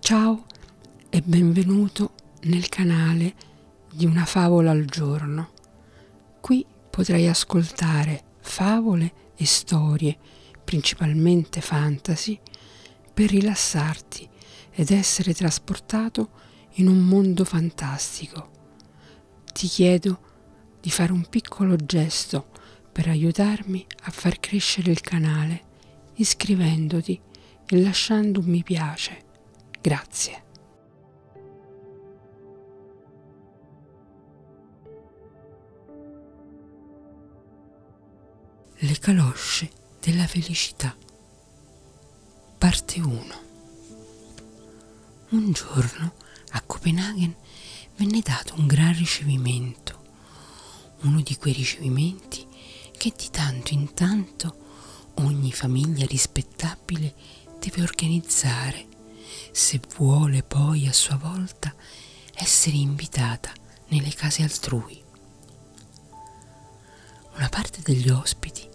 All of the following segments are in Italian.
Ciao e benvenuto nel canale di Una favola al giorno. Qui potrai ascoltare favole e storie, principalmente fantasy, per rilassarti ed essere trasportato in un mondo fantastico ti chiedo di fare un piccolo gesto per aiutarmi a far crescere il canale iscrivendoti e lasciando un mi piace. Grazie. Le calosce della felicità. Parte 1. Un giorno a Copenaghen venne dato un gran ricevimento, uno di quei ricevimenti che di tanto in tanto ogni famiglia rispettabile deve organizzare, se vuole poi a sua volta essere invitata nelle case altrui. Una parte degli ospiti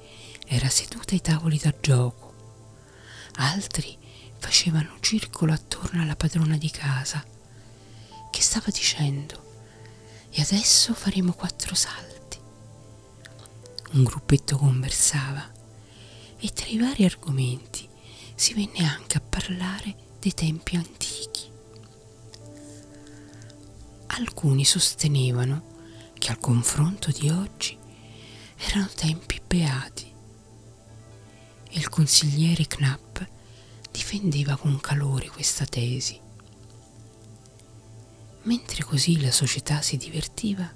era seduta ai tavoli da gioco, altri facevano circolo attorno alla padrona di casa che stava dicendo e adesso faremo quattro salti un gruppetto conversava e tra i vari argomenti si venne anche a parlare dei tempi antichi alcuni sostenevano che al confronto di oggi erano tempi beati e il consigliere Knapp difendeva con calore questa tesi. Mentre così la società si divertiva,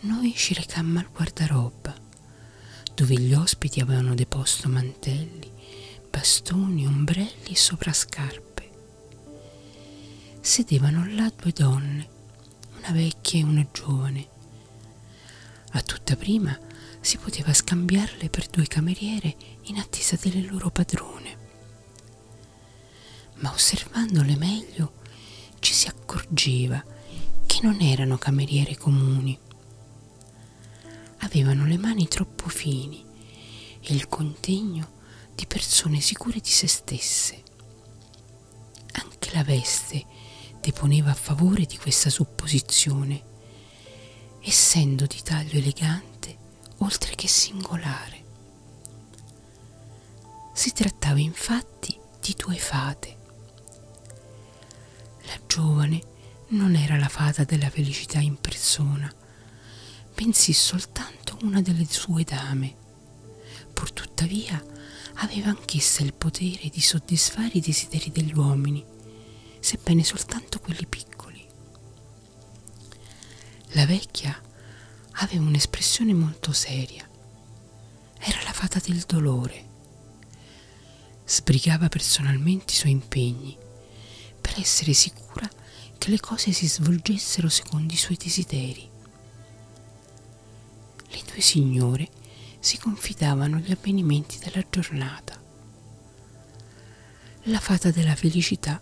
noi ci recammo al guardaroba, dove gli ospiti avevano deposto mantelli, bastoni, ombrelli e soprascarpe. Sedevano là due donne una vecchia e una giovane. A tutta prima si poteva scambiarle per due cameriere in attesa delle loro padrone. Ma osservandole meglio ci si accorgeva che non erano cameriere comuni. Avevano le mani troppo fini e il contegno di persone sicure di se stesse. Anche la veste deponeva a favore di questa supposizione, essendo di taglio elegante oltre che singolare. Si trattava infatti di due fate. La giovane non era la fata della felicità in persona, bensì soltanto una delle sue dame, pur tuttavia aveva anch'essa il potere di soddisfare i desideri degli uomini, sebbene soltanto quelli piccoli. La vecchia aveva un'espressione molto seria. Era la fata del dolore. Sbrigava personalmente i suoi impegni per essere sicura che le cose si svolgessero secondo i suoi desideri. Le due signore si confidavano gli avvenimenti della giornata. La fata della felicità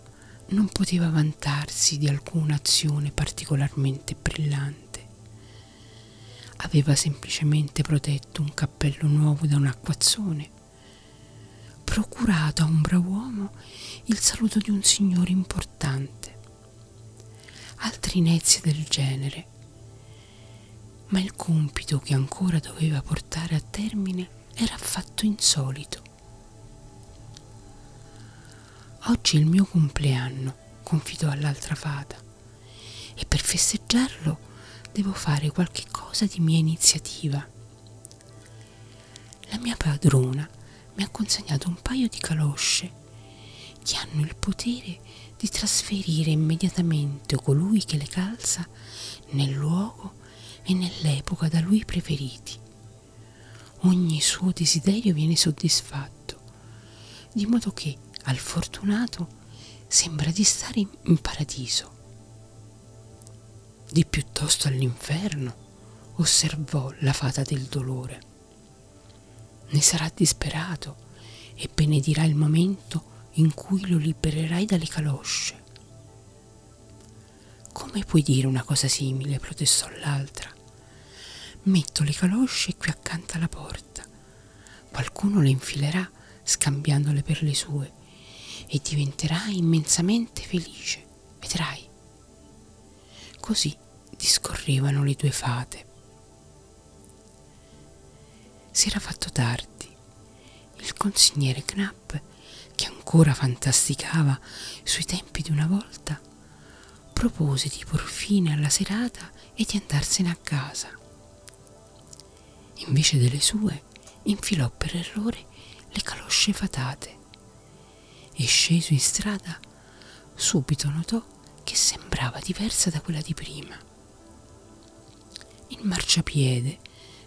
non poteva vantarsi di alcuna azione particolarmente brillante. Aveva semplicemente protetto un cappello nuovo da un acquazzone, procurato a un bravo uomo il saluto di un signore importante altri nezie del genere, ma il compito che ancora doveva portare a termine era affatto insolito. Oggi è il mio compleanno, confidò all'altra fata, e per festeggiarlo devo fare qualche cosa di mia iniziativa. La mia padrona mi ha consegnato un paio di calosce creature che hanno il potere di trasferire immediatamente colui che le calza nel luogo e nell'epoca da lui preferiti. Ogni suo desiderio viene soddisfatto, di modo che al fortunato sembra di stare in paradiso. Di piuttosto all'inferno, osservò la fata del dolore. Ne sarà disperato e benedirà il momento in cui lo libererai dalle calosce. Come puoi dire una cosa simile? protestò l'altra. Metto le calosce qui accanto alla porta. Qualcuno le infilerà scambiandole per le sue e diventerai immensamente felice, vedrai. Così discorrevano le due fate. Si era fatto tardi. Il consigliere Knapp, che ancora fantasticava sui tempi di una volta, propose di por fine alla serata e di andarsene a casa. Invece delle sue, infilò per errore le calosce fatate e sceso in strada subito notò che sembrava diversa da quella di prima. Il marciapiede,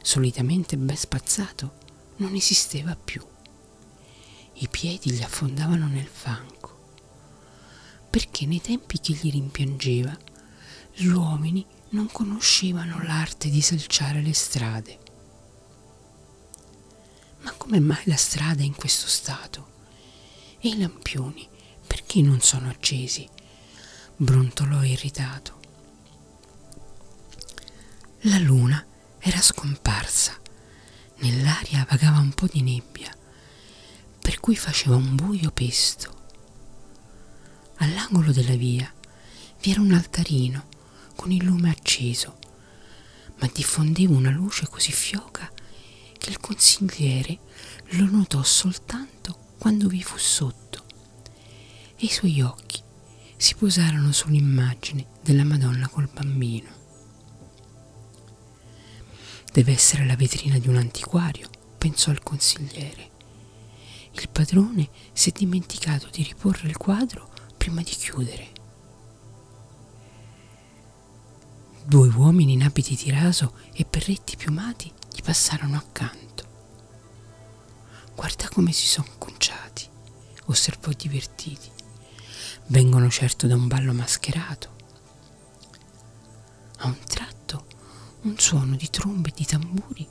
solitamente ben spazzato, non esisteva più. I piedi gli affondavano nel fango, perché nei tempi che gli rimpiangeva gli uomini non conoscevano l'arte di selciare le strade. Ma come mai la strada è in questo stato? vento. E i lampioni perché non sono accesi? brontolò irritato. La luna era scomparsa, nell'aria vagava un po' di nebbia, per cui faceva un buio pesto. All'angolo della via vi era un altarino con il lume acceso, ma diffondeva una luce così fioca che il consigliere lo notò soltanto quando vi fu sotto e i suoi occhi si posarono sull'immagine della Madonna col bambino. Deve essere la vetrina di un antiquario, pensò il consigliere. Il padrone si è dimenticato di riporre il quadro prima di chiudere. Due uomini in abiti di raso e berretti piumati gli passarono accanto. Guarda come si sono conciati, osservò divertiti. Vengono certo da un ballo mascherato. A un tratto un suono di trombe e di tamburi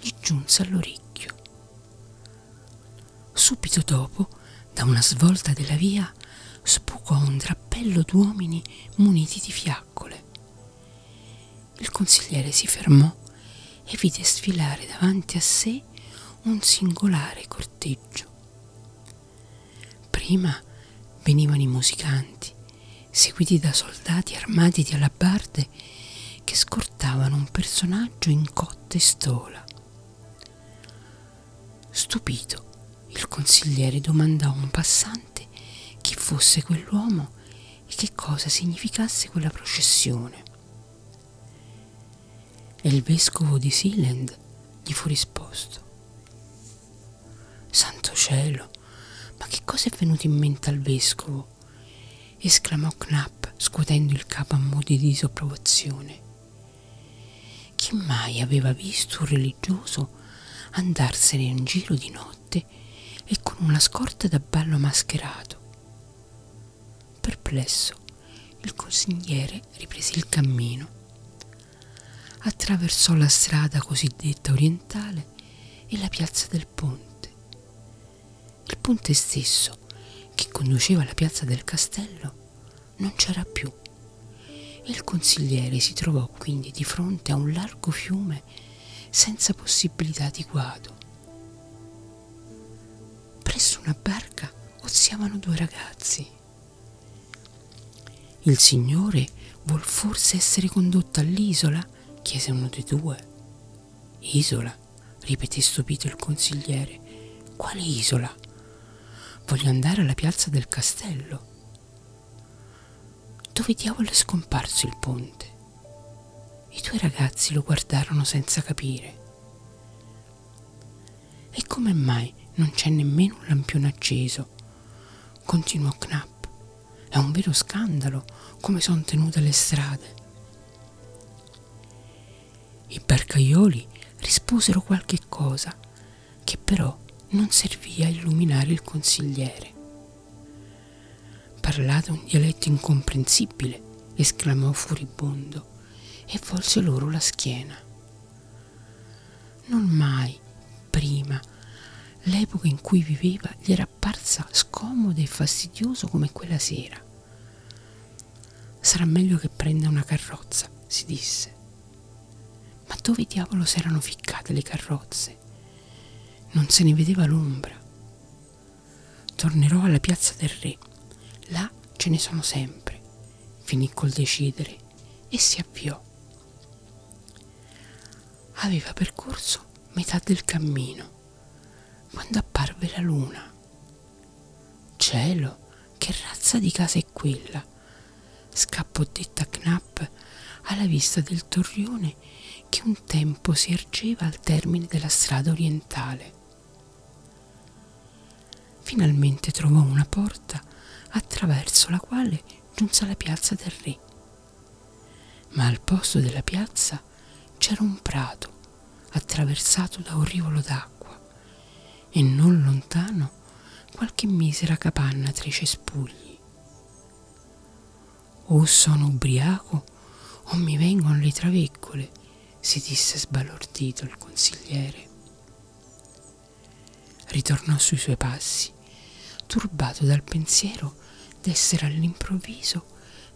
gli giunse all'orecchio. Subito dopo, da una svolta della via, via spucò un drappello d'uomini muniti di fiaccole. Il consigliere si fermò e vide sfilare davanti a sé un singolare corteggio. Prima venivano i musicanti, seguiti da soldati armati di alabarde che scortavano un personaggio in cotta e stola. Stupito, il consigliere domandò a un passante chi fosse quell'uomo e che cosa significasse quella processione. E il vescovo di Sealand gli fu risposto. Santo cielo, ma che cosa è venuto in mente al vescovo? esclamò Knapp scuotendo il capo a modi di disapprovazione chi mai aveva visto un religioso andarsene in giro di notte e con una scorta da ballo mascherato? Perplesso, il consigliere riprese il cammino, attraversò la strada cosiddetta orientale e la piazza del ponte. Il ponte stesso, che conduceva alla piazza del castello, non c'era più. Il consigliere si trovò quindi di fronte a un largo fiume senza possibilità di guado. Presso una barca oziavano due ragazzi. Il signore vuol forse essere condotto all'isola? chiese uno dei due. Isola? ripeté stupito il consigliere. Quale isola? Voglio andare alla piazza del castello. Dove diavolo è scomparso il ponte? I due ragazzi lo guardarono senza capire. E come mai non c'è nemmeno un lampione acceso? Continuò Knapp. È un vero scandalo come sono tenute le strade. I barcaioli risposero qualche cosa che però non servì a illuminare il consigliere. Parlate un dialetto incomprensibile, esclamò furibondo e volse loro la schiena. Non mai prima l'epoca in cui viveva gli era apparsa scomoda e fastidiosa come quella sera. Sarà meglio che prenda una carrozza, si disse. Ma dove diavolo s'erano ficcate le carrozze? Non se ne vedeva l'ombra. Tornerò alla piazza del re. Là ce ne sono sempre, finì col decidere e si avviò. Aveva percorso metà del cammino quando apparve la luna. Cielo, che razza di case tranquilla. Scappò detta Knapp alla vista del torrione che un tempo si ergeva al termine della strada orientale. Finalmente trovò una porta attraverso la quale giunse alla piazza del re. Ma al posto della piazza c'era un prato attraversato da un rivolo d'acqua e non lontano qualche misera capanna tra i cespugli occhi. O sono ubriaco o mi vengono le traveccole, si disse sbalordito il consigliere. Ritornò sui suoi passi, turbato dal pensiero d'essere all'improvviso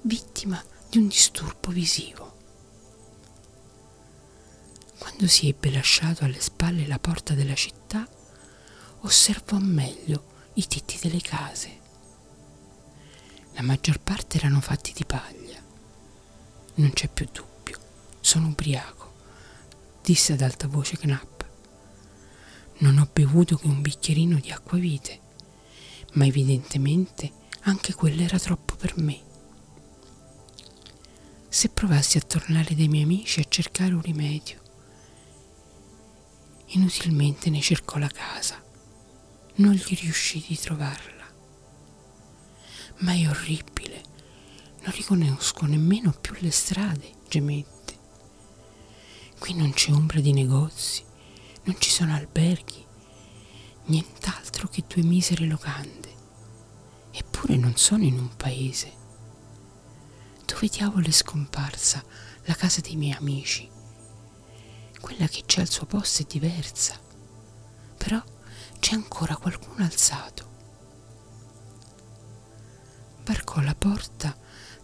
vittima di un disturbo visivo. Quando si ebbe lasciato alle spalle la porta della città, osservò meglio i tetti delle case. La maggior parte erano fatti di paglia. Non c'è più dubbio, sono ubriaco, disse ad alta voce Knapp. Non ho bevuto che un bicchierino di acquavite, ma evidentemente anche quello era troppo per me. Se provassi a tornare dai miei amici a cercare un rimedio, Inutilmente ne cercò la casa, non gli riuscì di trovarla. Ma è orribile, non riconosco nemmeno più le strade, gemette. Qui non c'è ombra di negozi, non ci sono alberghi, nient'altro che due misere locande. Eppure non sono in un paese, dove diavolo è scomparsa la casa dei miei amici? Quella che c'è al suo posto è diversa, però c'è ancora qualcuno alzato. Varcò la porta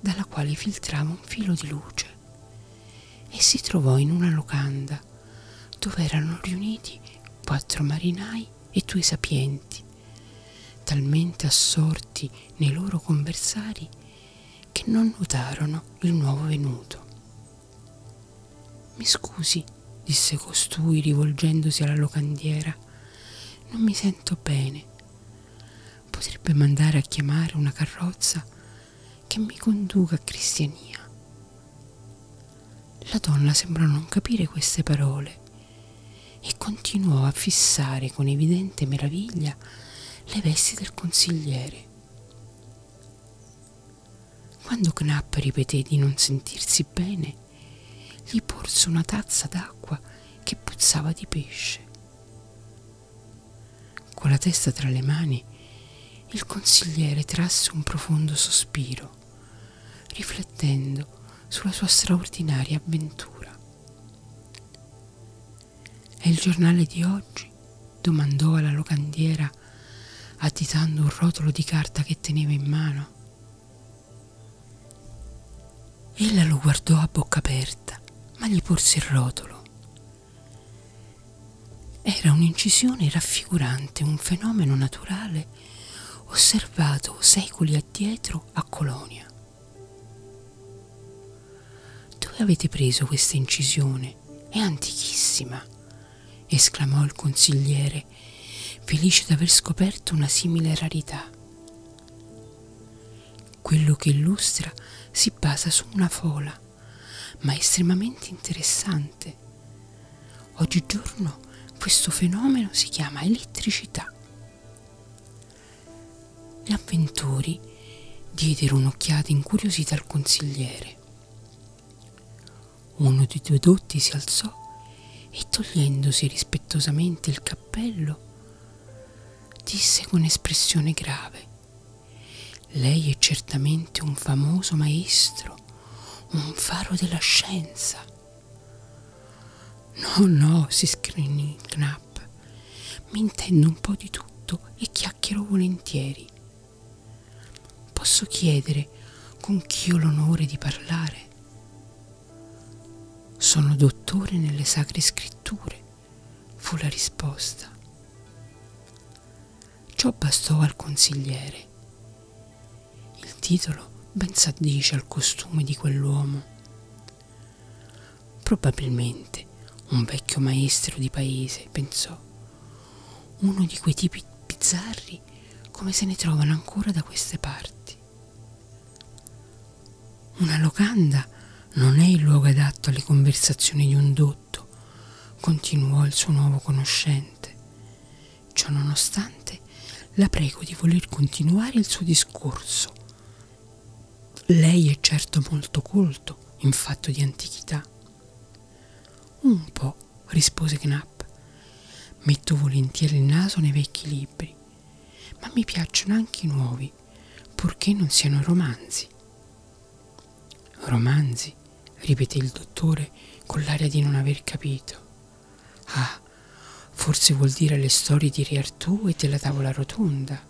dalla quale filtrava un filo di luce e si trovò in una locanda dove erano riuniti quattro marinai e tuoi sapienti, talmente assorti nei loro conversari che non notarono il nuovo venuto. Mi scusi, disse costui rivolgendosi alla locandiera, non mi sento bene. Potrebbe mandare a chiamare una carrozza che mi conduca a Cristiania. La donna sembrò non capire queste parole e continuò a fissare con evidente meraviglia le vesti del consigliere. Quando Knapp ripeté di non sentirsi bene, gli porse una tazza d'acqua che puzzava di pesce. Con la testa tra le mani, il consigliere trasse un profondo sospiro, riflettendo sulla sua straordinaria avventura. È il giornale di oggi? domandò alla locandiera agitando un rotolo di carta che teneva in mano. Ella lo guardò a bocca aperta, ma gli porse il rotolo. Era un'incisione raffigurante un fenomeno naturale osservato secoli addietro a Colonia. Dove avete preso questa incisione? È antichissima, esclamò il consigliere, felice d'aver scoperto una simile rarità. Quello che illustra si basa su una fola, ma estremamente interessante. Oggigiorno questo fenomeno si chiama elettricità gli avventori diedero un'occhiata incuriosita al consigliere. Uno dei due dotti si alzò e togliendosi rispettosamente il cappello, disse con espressione grave, lei è certamente un famoso maestro, un faro della scienza. No, no, si scrignì Knapp. Mi intendo un po' di tutto e chiacchiero volentieri. Posso chiedere con chi ho l'onore di parlare? Sono dottore nelle sacre scritture, fu la risposta. Ciò bastò al consigliere. Il titolo ben s'addice al costume di quell'uomo Probabilmente un vecchio maestro di paese, pensò, uno di quei tipi bizzarri come se ne trovano ancora da queste parti. Una locanda non è il luogo adatto alle conversazioni di un dotto, continuò il suo nuovo conoscente. Ciò nonostante, la prego di voler continuare il suo discorso lei è certo molto colto in fatto di antichità. Un po', rispose Knapp. Metto volentieri il naso nei vecchi libri, ma mi piacciono anche i nuovi, purché non siano romanzi. Romanzi, ripeté il dottore con l'aria di non aver capito. Ah, Forse vuol dire le storie di Re Artù e della tavola rotonda.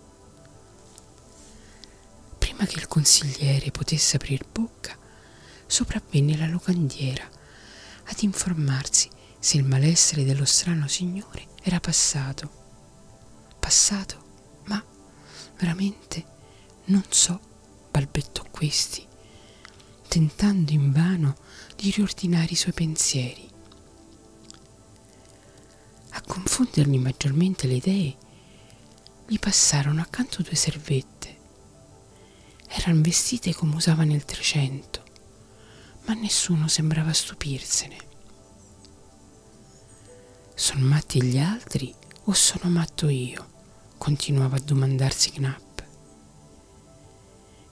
Prima che il consigliere potesse aprir bocca, sopravvenne la locandiera ad informarsi se il malessere dello strano signore era passato. Passato, ma veramente non so, balbettò questi, tentando invano di riordinare i suoi pensieri. A confondergli maggiormente le idee gli passarono accanto due servette. Erano vestite come usava nel Trecento, ma nessuno sembrava stupirsene. Sono matti gli altri o sono matto io? continuava a domandarsi Knapp.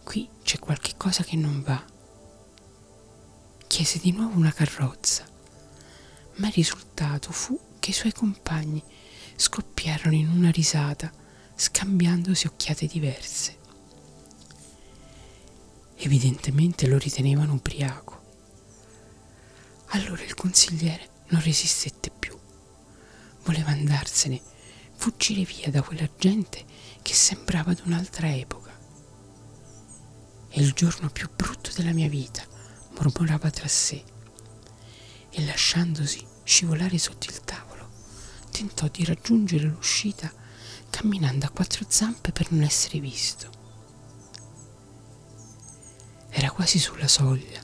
Qui c'è qualche cosa che non va. Chiese di nuovo una carrozza, ma il risultato fu che i suoi compagni scoppiarono in una risata, scambiandosi occhiate diverse. Evidentemente lo ritenevano ubriaco. Allora il consigliere non resistette più. Voleva andarsene, fuggire via da quella gente che sembrava d'un'altra epoca. È il giorno più brutto della mia vita, mormorava tra sé e lasciandosi scivolare sotto il tavolo, tentò di raggiungere l'uscita camminando a quattro zampe per non essere visto. Era quasi sulla soglia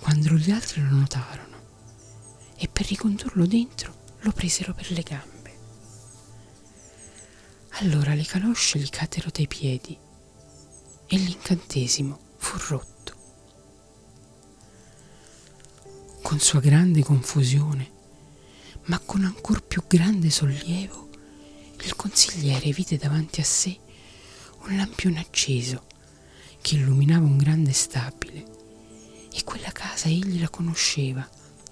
quando gli altri lo notarono e per ricondurlo dentro lo presero per le gambe. Allora le calosce gli cadero dai piedi e l'incantesimo fu rotto. Con sua grande confusione, ma con ancor più grande sollievo, il consigliere vide davanti a sé un lampione acceso che illuminava un grande stabile e quella casa egli la conosceva strada,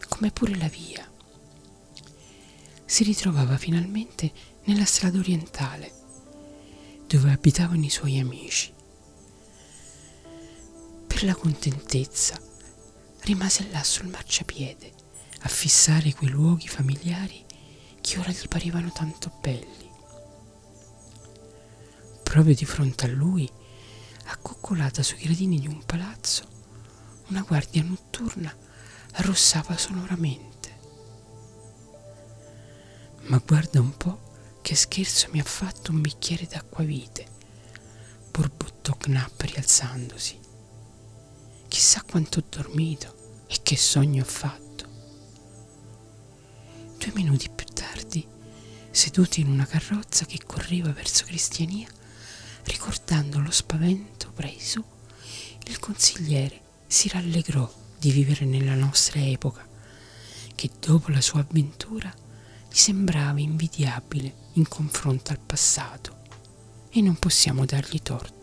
come pure la via. Si ritrovava finalmente nella strada orientale, dove abitavano i suoi amici. Per la contentezza rimase là sul marciapiede a fissare quei luoghi familiari che ora gli parevano tanto belli. Proprio di fronte a lui accoccolata sui gradini di un palazzo, una guardia notturna arrossava sonoramente. Ma guarda un po' che scherzo mi ha fatto un bicchiere d'acquavite, borbottò Knapp rialzandosi. Chissà quanto ho dormito e che sogno ho fatto. Due minuti più tardi, seduti in una carrozza che correva verso Cristiania, Ricordando lo spavento preso, il consigliere si rallegrò di vivere nella nostra epoca, che dopo la sua avventura gli sembrava invidiabile in confronto al passato e non possiamo dargli torto.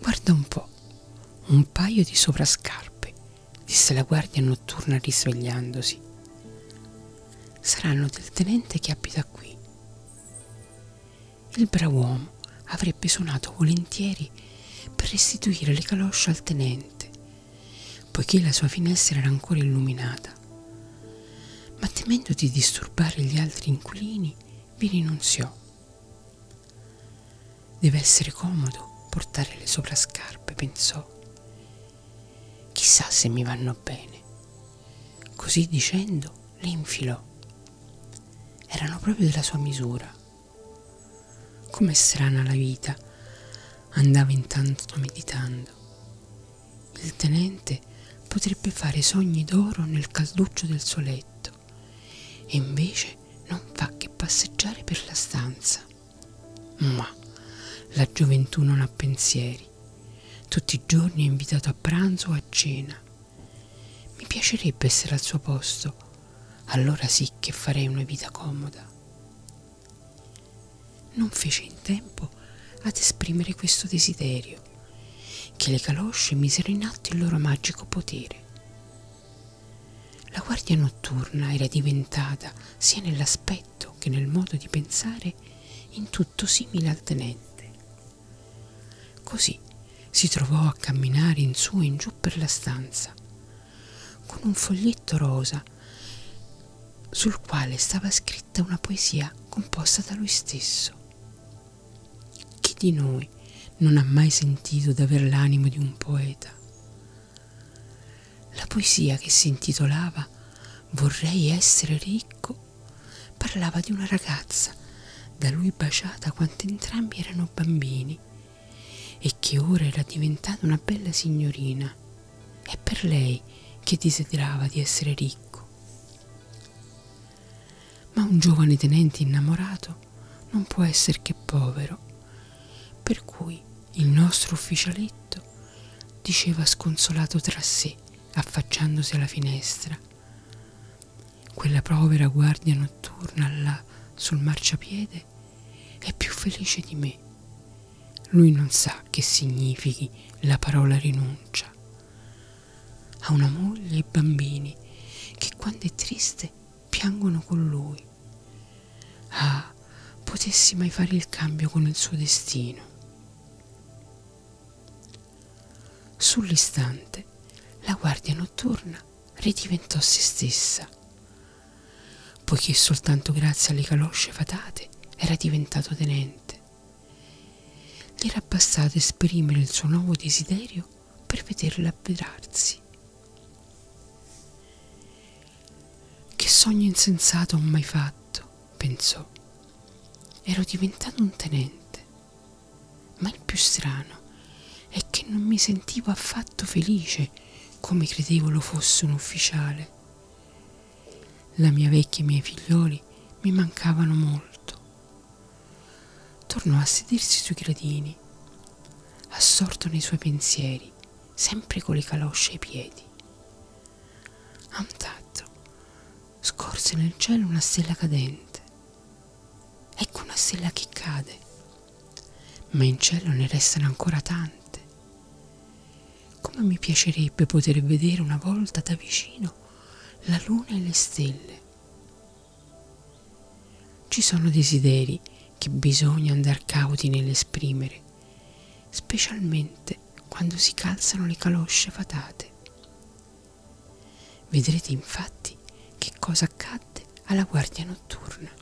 Guarda un po', un paio di sovrascarpe disse la guardia notturna risvegliandosi. Saranno del tenente che abita qui. Il brav'uomo avrebbe suonato volentieri per restituire le calosce al tenente, poiché la sua finestra era ancora illuminata. Ma temendo di disturbare gli altri inquilini, vi rinunziò. Deve essere comodo portare le soprascarpe, pensò. Chissà se mi vanno bene. Così dicendo, le infilò. Erano proprio della sua misura. Com'è strana la vita, andava intanto meditando. Il tenente potrebbe fare sogni d'oro nel calduccio del suo letto e invece non fa che passeggiare per la stanza. Ma la gioventù non ha pensieri. Tutti i giorni è invitato a pranzo o a cena. Mi piacerebbe essere al suo posto, allora sì che farei una vita comoda. Non fece in tempo ad esprimere questo desiderio, che le calosce misero in atto il loro magico potere. La guardia notturna era diventata, sia nell'aspetto che nel modo di pensare, in tutto simile al tenente. Così si trovò a camminare in su e in giù per la stanza, con un foglietto rosa sul quale stava scritta una poesia composta da lui stesso. Chi di noi non ha mai sentito d'aver l'animo di un poeta? La poesia che si intitolava Vorrei essere ricco parlava di una ragazza da lui baciata quando entrambi erano bambini e che ora era diventata una bella signorina. È per lei che desiderava di essere ricco. Ma un giovane tenente innamorato non può essere che povero, per cui il nostro ufficialetto diceva sconsolato tra sé, affacciandosi alla finestra. Quella povera guardia notturna là sul marciapiede è più felice di me. Lui non sa che significhi la parola rinuncia. Ha una moglie e bambini che quando è triste piangono con lui. Ah, potessi mai fare il cambio con il suo destino. Sull'istante la guardia notturna ridiventò se stessa, poiché soltanto grazie alle calosce fatate era diventato tenente. Gli era bastato esprimere il suo nuovo desiderio per vederla avverarsi che sogno insensato ho mai fatto, pensò. Ero diventato un tenente. Ma il più strano è che non mi sentivo affatto felice come credevo lo fosse un ufficiale. La mia vecchia e i miei figlioli mi mancavano molto. Tornò a sedersi sui gradini, assorto nei suoi pensieri sempre con le calosce ai piedi. A un tratto scorse nel cielo una stella cadente. Ecco una stella che cade, ma in cielo ne restano ancora tante. Come mi piacerebbe poter vedere una volta da vicino la luna e le stelle. Ci sono desideri che bisogna andar cauti nell'esprimere, specialmente quando si calzano le calosce fatate. Vedrete infatti che cosa accadde alla guardia notturna.